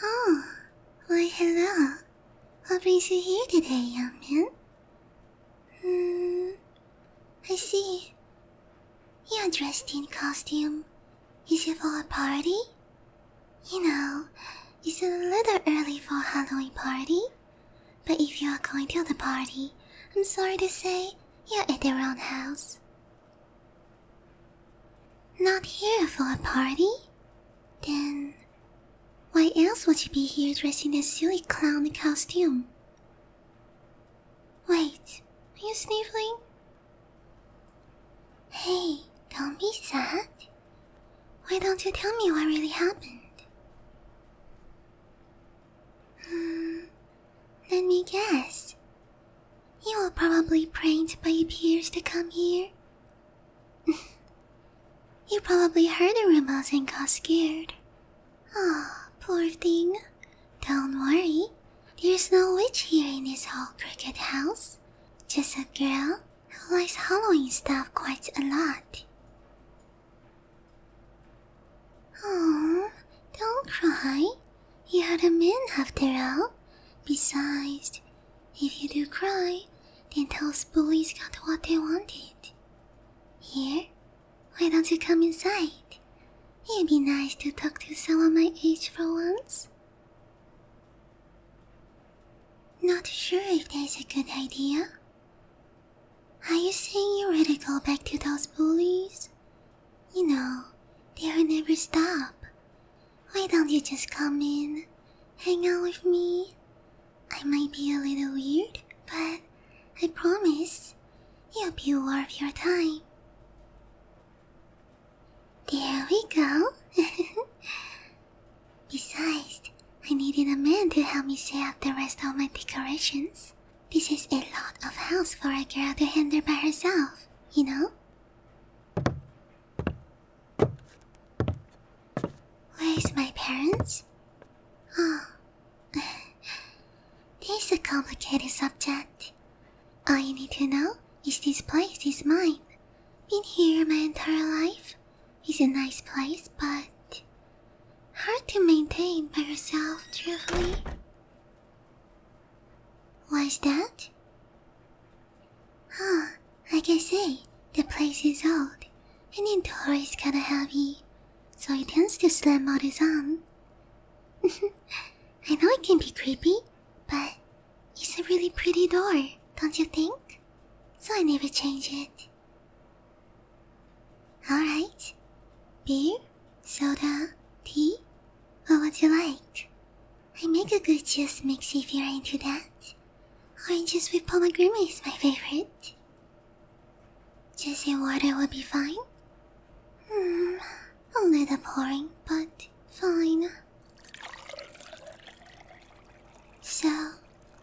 Oh, why hello. What brings you here today, young man? Hmm, I see. You're dressed in costume is it for a party? You know, it's a little early for a Halloween party. But if you are going to the party, I'm sorry to say you're at the wrong house. Not here for a party? Then why else would you be here dressed in a silly clown costume? Wait, are you sniffling? Hey, don't be sad. Why don't you tell me what really happened? Hmm, let me guess. You were probably pranked by your peers to come here. you probably heard the rumors and got scared. Ah, oh, poor thing. Don't worry. There's no witch here in this old crooked house. Just a girl who likes Halloween stuff quite a lot. Oh, don't cry. You are a man after all. Besides, if you do cry, then those bullies got what they wanted. Here, why don't you come inside? It'd be nice to talk to someone my age for once. Not sure if that's a good idea. Are you saying you're ready to go back to those bullies? You know, they'll never stop. Why don't you just come in, hang out with me? I might be a little weird, but I promise You'll be worth your time. There we go. Besides, I needed a man to help me set up the rest of my decorations. This is a lot of house for a girl to handle by herself, you know? Where's my parents? Oh, this is a complicated subject. All you need to know is this place is mine. Been here my entire life. It's a nice place, but hard to maintain by yourself, truthfully. Why's that? Huh, like I say, the place is old, and indoor is kinda heavy so he tends to slam out his arm. I know it can be creepy, but it's a really pretty door, don't you think? So I never change it. Alright. Beer, soda, tea, what would you like? I make a good juice mix if you're into that. Oranges with pomegranate is my favorite. Just say water will be fine? Hmm, a little boring, but fine. So,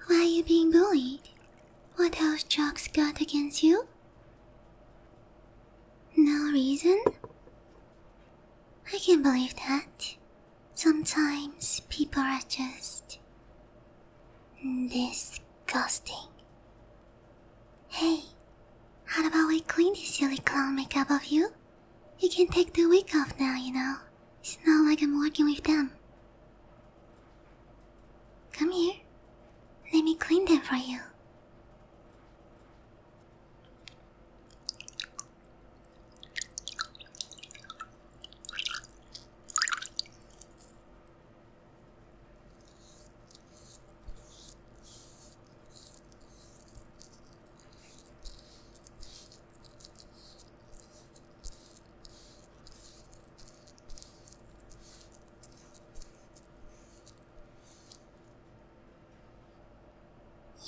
why are you being bullied? What else Jocks got against you? No reason? I can't believe that. Sometimes people are just Disgusting. Hey, how about we clean this silly clown makeup off you? You can take the wig off now, you know. It's not like I'm working with them. Come here. Let me clean them for you.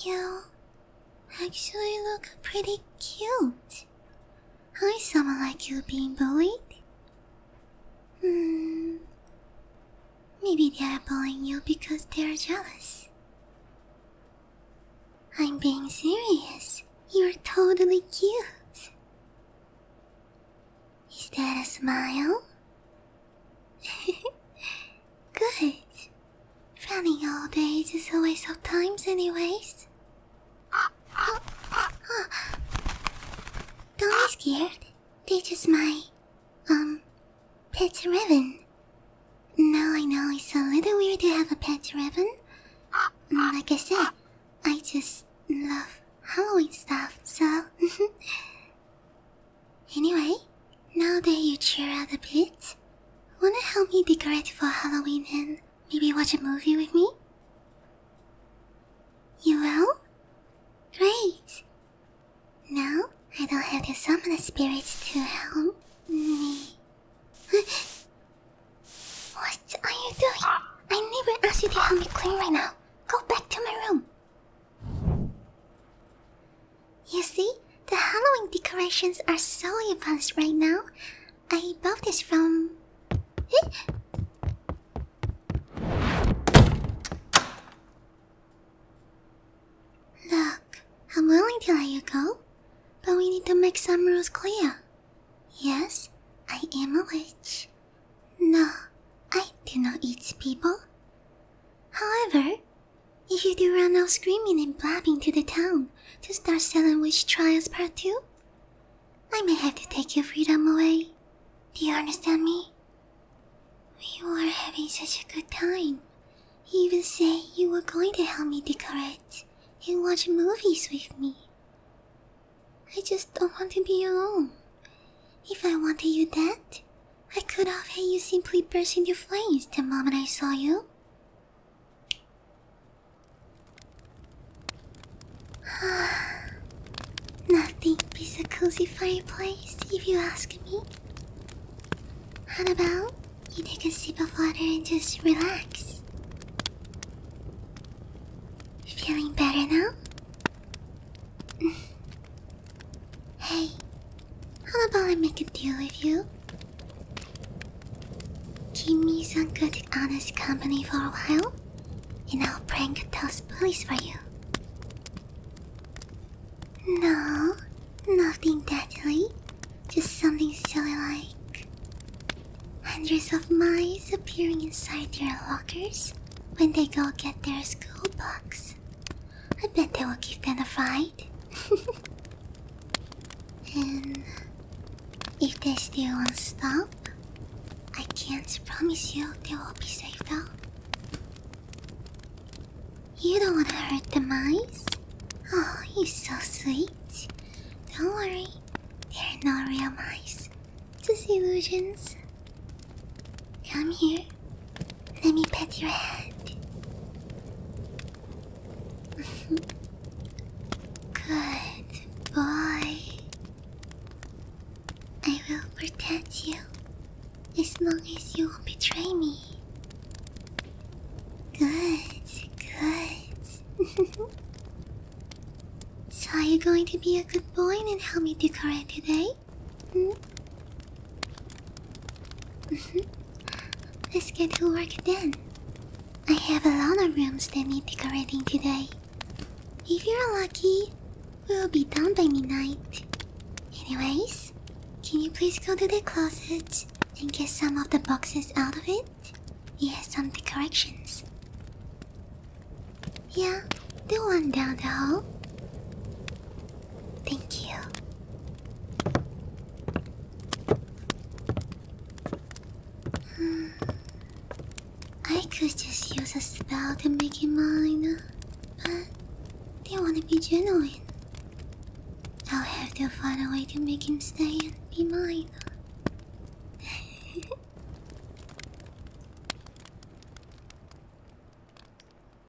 You actually look pretty cute. Hi, someone like you being bullied? Hmm. Maybe they are bullying you because they are jealous. I'm being serious. You're totally cute. Is that a smile? Good. Running all day is a waste of time, anyways. Don't be scared. They're just my, um, pet raven. Now I know it's a little weird to have a pet raven. Mm, like I said, I just love Halloween stuff, so. anyway, now that you cheer out a bit, wanna help me decorate for Halloween and Maybe watch a movie with me? You will? Great! Now I don't have to summon the spirits to help me. what are you doing? I never asked you to help me clean right now. Go back to my room. You see, the Halloween decorations are so advanced right now. I bought this from. Eh? Look, I'm willing to let you go, but we need to make some rules clear. Yes, I am a witch. No, I do not eat people. However, if you do run out screaming and blabbing to the town, to start selling witch trials part 2? I may have to take your freedom away. Do you understand me? We were having such a good time. You even said you were going to help me decorate and watch movies with me. I just don't want to be alone. If I wanted you dead, I could have had you simply burst into flames the moment I saw you. Nothing beats a cozy fireplace, if you ask me. How about you take a sip of water and just relax? Feeling better now? hey, how about I make a deal with you? Give me some good, honest company for a while, and I'll prank those bullies for you. No, nothing deadly, just something silly like hundreds of mice appearing inside their lockers when they go get their school books. I bet they will give them a fight. and if they still won't stop, I can't promise you they will be safe though. You don't want to hurt the mice? Oh, you're so sweet. Don't worry, they're not real mice, just illusions. Come here, let me pet your head. Good boy. I will protect you as long as you won't betray me. Good, good. so, are you going to be a good boy and help me decorate today? Hmm? Mm-hmm. Let's get to work then. I have a lot of rooms that need decorating today. If you're lucky, we'll be done by midnight. Anyways, can you please go to the closet and get some of the boxes out of it? He has some decorations. Yeah, the one down the hall. Thank you. Hmm. I could just use a spell to make him mine, but they want to be genuine. I'll have to find a way to make him stay and be mine.